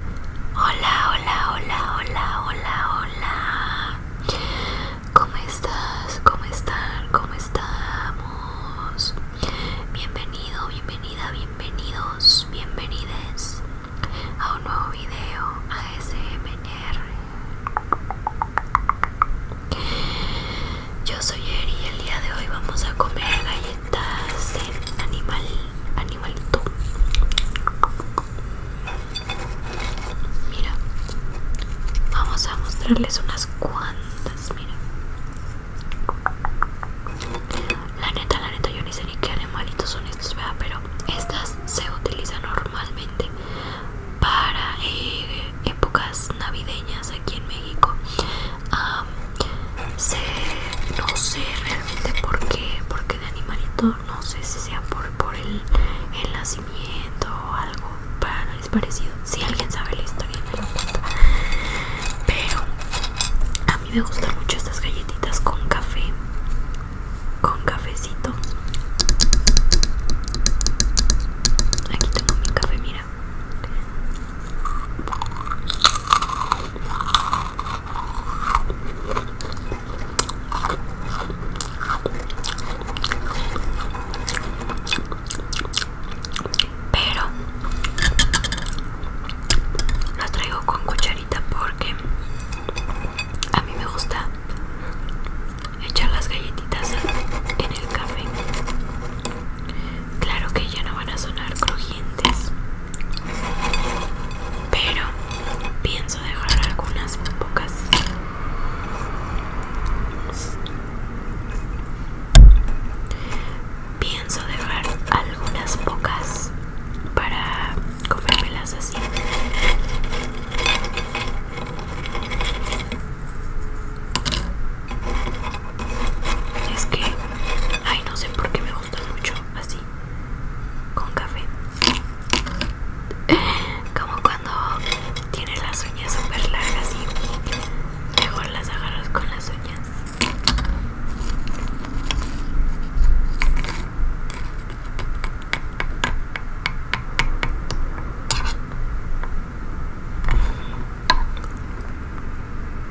Hola, hola, hola, hola, hola, hola. ¿Cómo estás? ¿Cómo están? ¿Cómo estamos? Bienvenido, bienvenida, bienvenidos, bienvenides a un nuevo video ASMR. Yo soy Eri y el día de hoy vamos a comer galletas galletas animal animalito mira vamos a mostrarles unas cuantas mira la neta la neta yo ni sé ni qué animalitos son estos vea pero estas se utilizan normalmente para eh, épocas navideñas aquí en México sé, no sé realmente por qué, porque de animalito no sé si sea por, por el, nacimiento o algo para, es parecido. Si alguien sabe la historia me lo Pero a mí me gustan mucho estas galletitas con café, con cafecito. Aquí tengo mi café, mira. Pero la traigo con cucharita porque a mí me gusta echar las galletitas en el café. Claro que ya no van a sonar crujientes pero pienso dejar algunas pocas pienso dejar algunas pocas para comérmelas así es que ay no sé por qué me gustan mucho así con café como cuando tiene las uñas super largas y mejor las agarras con las uñas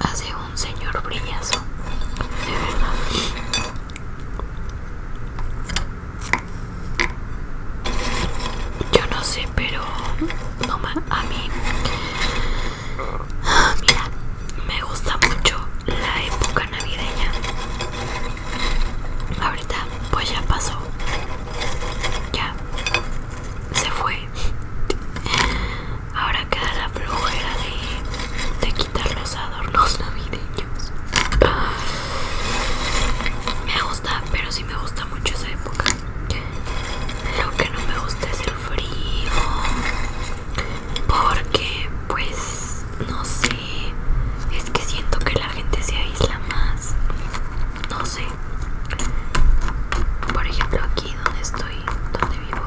hace un señor brillazo de verdad yo no sé pero no a mí ah, mira me gusta mucho la época navideña ahorita pues ya pasó ya se fue Ahora queda la flojera de, quitar los adornos navideños. Me gusta, pero sí me gusta mucho esa época. Lo que no me gusta es el frío. Porque, pues, no sé. Es que siento que la gente se aísla más sé por ejemplo aquí donde estoy donde vivo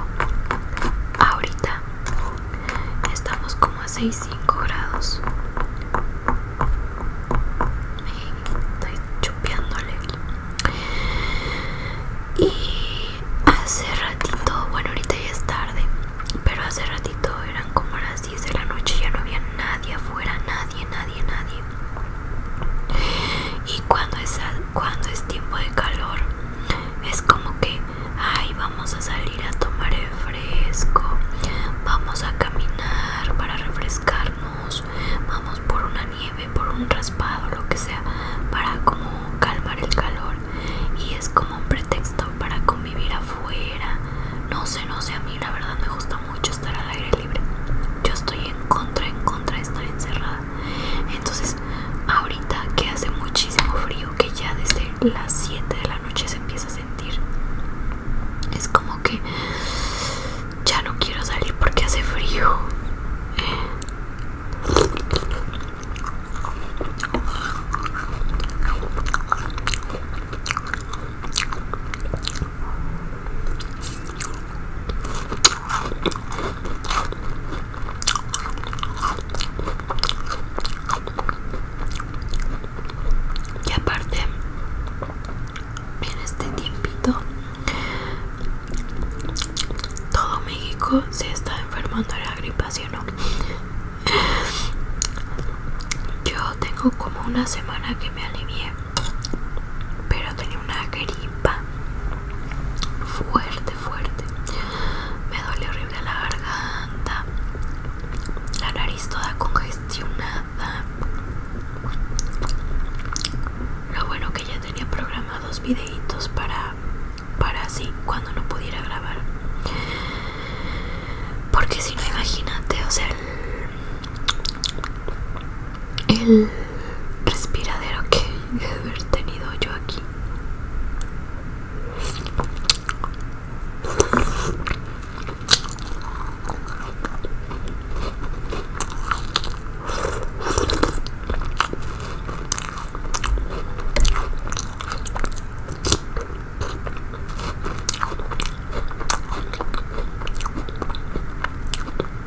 ahorita estamos como a 5 grados estoy chupeándole y hace ratito bueno ahorita ya es tarde pero hace ratito eran como las 10 de la noche ya no había nadie afuera nadie nadie, nadie, nadie. Y cuando es, cuando es tiempo de calor, es como que, ay, vamos a salir a tomar el fresco, vamos a caminar para refrescarnos, vamos por una nieve, por un raspado, lo que sea, para como calmar el calor. Y es como un pretexto para convivir afuera. No sé, no sé, a mí la verdad me gusta mucho estar al aire libre. Yo estoy en contra, en contra de estar encerrada. Entonces, ahorita que hace muchísimo frío, que ya desde las 7 de la noche se empieza a sentir, es como que ya no quiero salir porque hace frío. Y aparte, en este tiempito, todo México se está enfermando de la gripa, ¿sí o no? Yo tengo como una semana que me alivié, pero tenía una gripa fuerte, fuerte. Me duele horrible la garganta, la nariz toda congestionada. Lo bueno que ya tenía programados videitos para para así cuando no pudiera grabar. Porque si no, imagínate, o sea, el respiradero que he tenido yo aquí.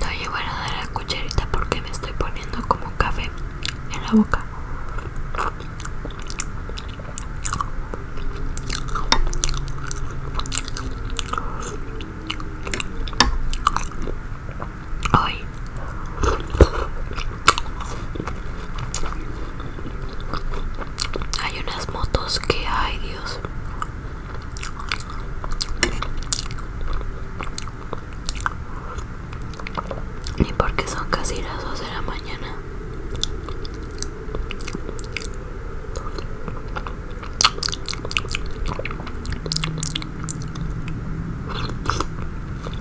No llevo nada la cucharita porque me estoy poniendo como café en la boca. Hay unas motos que hay, Dios. Ni porque son casi las 2 de la mañana.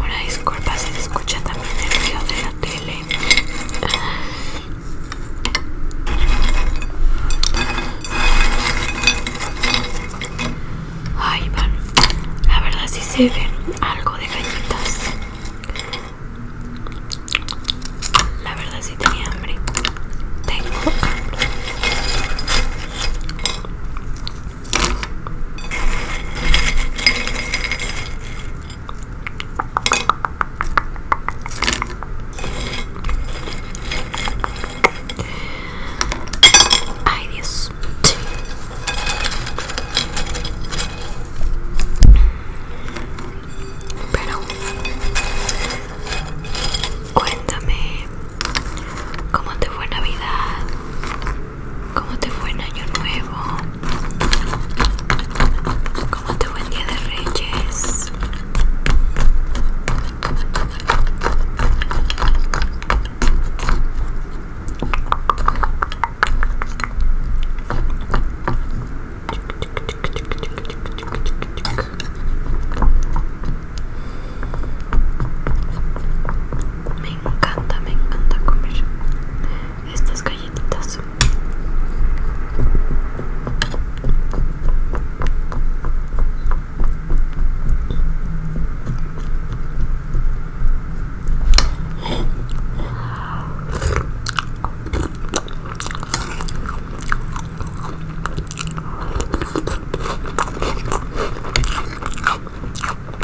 Una disculpa se escucha también el ruido de la tele. Ay, van. La verdad sí se ven algo de gallitas. La verdad sí tenía hambre. Tengo hambre. Ay, Dios. Pero cuéntame cómo te fue Navidad. ¿Cómo te fue en Año Nuevo? ¿Cómo te fue en Día de Reyes? Me encanta, me encanta comer estas galletitas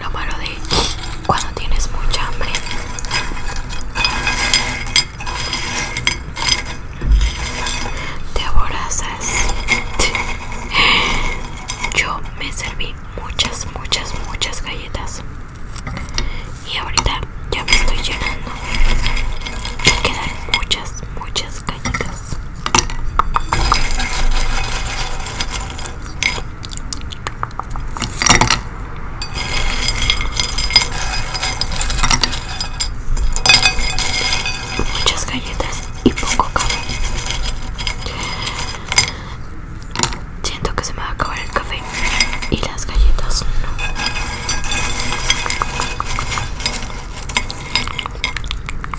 Lo malo de cuando tienes mucha hambre te aborazas. Yo me serví muchas, muchas, muchas galletas. Y ahorita ya me estoy llenando. Me quedan muchas, muchas galletas. Muchas galletas y poco café. Siento que se me va a acabar el café y las galletas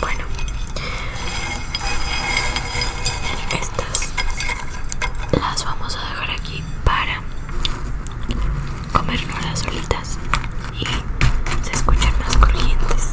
Bueno, estas las vamos a dejar aquí para las olitas y se escuchan más corrientes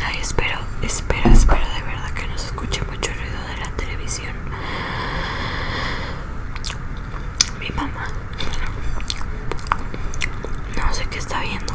Ay, espero, espero, espero de verdad que no se escuche mucho ruido de la televisión mi mamá no sé qué está viendo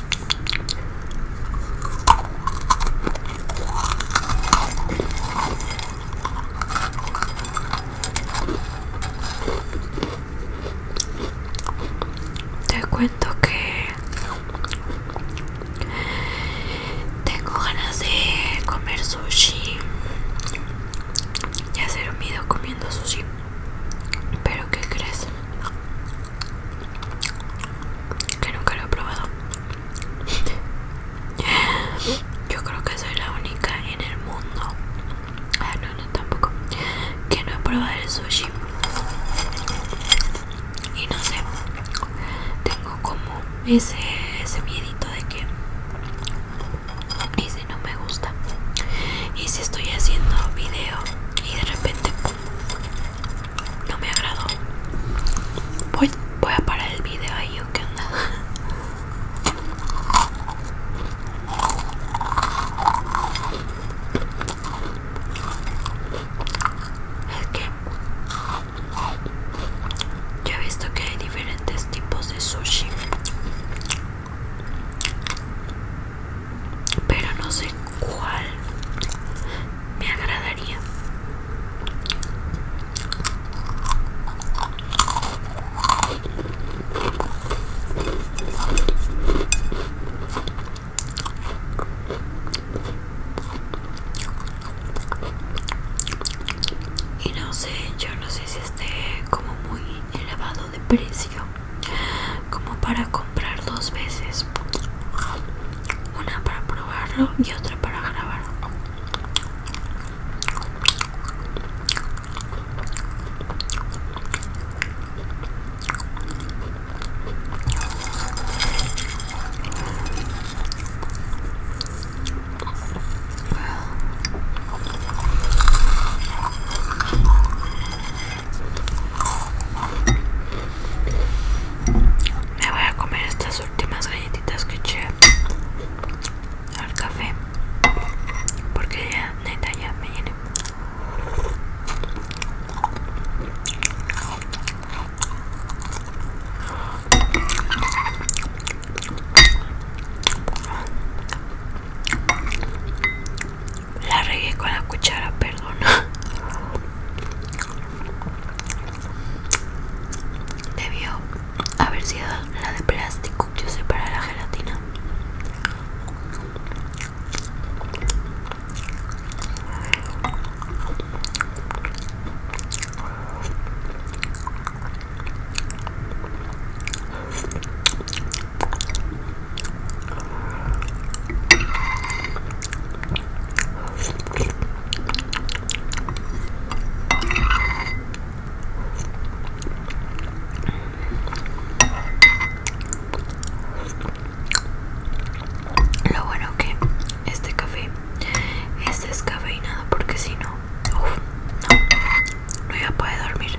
Te cuento que tengo ganas de comer sushi hacer un video comiendo sushi Pero ¿qué crees? que nunca lo he probado. Yo creo que soy la única en el mundo. Ah, no, no, tampoco. Que no he probado el sushi. Y no sé. Tengo como ese, ese miedito de que. Y si no me gusta. Y si estoy haciendo video y de repente no me agradó. Voy, voy a parar el video ahí o qué onda. Es que yo he visto que hay diferentes tipos de sushi, pero no sé cuál me agradaría y no sé yo no sé si esté como muy elevado de precio como para comprar dos veces una para probarlo y otra para grabarlo me voy a comer estas últimas galletitas que eché al café porque ya neta ya me llené. La regué con la cuchara, perdón. Debió haber sido la de plástico Yo sé para la gelatina. Lo bueno que este café es descafeinado porque si no, no, no iba a poder dormir.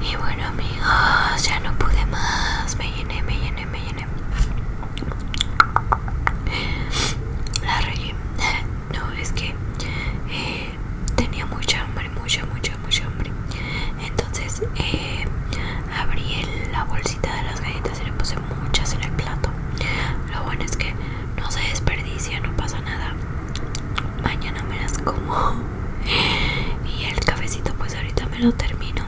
Y bueno amigos, ya no pude más, me llené, me llené, me llené. La regué. No, es que eh, tenía mucha hambre, mucha, mucha, mucha hambre. Entonces eh, abrí la bolsita de las galletas y le puse muchas en el plato. Lo bueno es que no se desperdicia, no pasa nada. Mañana me las como. Y el cafecito pues ahorita me lo termino.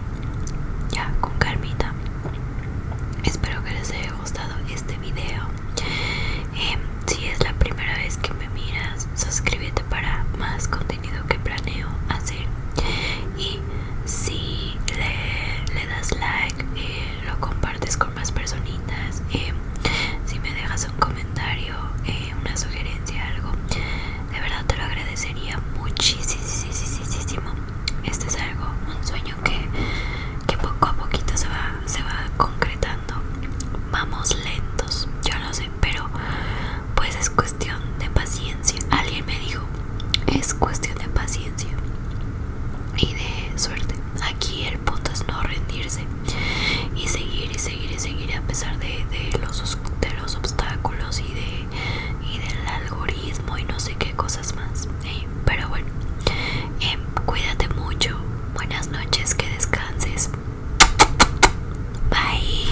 Ya, con calmita. Espero que les haya gustado este video. Em, si es la primera vez que me miras, suscríbete para más contenido que planeo hacer y si le, das like lo compartes con más personitas si me dejas un comentario eh, una sugerencia algo de verdad te lo agradecería muchísimo este es algo un sueño que, poco a poquito se va se va concretando vamos lentos yo lo sé pero pues es cuestión de paciencia. Alguien me dijo, es cuestión de paciencia y de suerte. Aquí el punto es no rendirse y seguir y seguir y seguir a pesar de, los, de los obstáculos y, de, y del algoritmo y no sé qué cosas más. Pero bueno, em, cuídate mucho. Buenas noches, que descanses. Bye.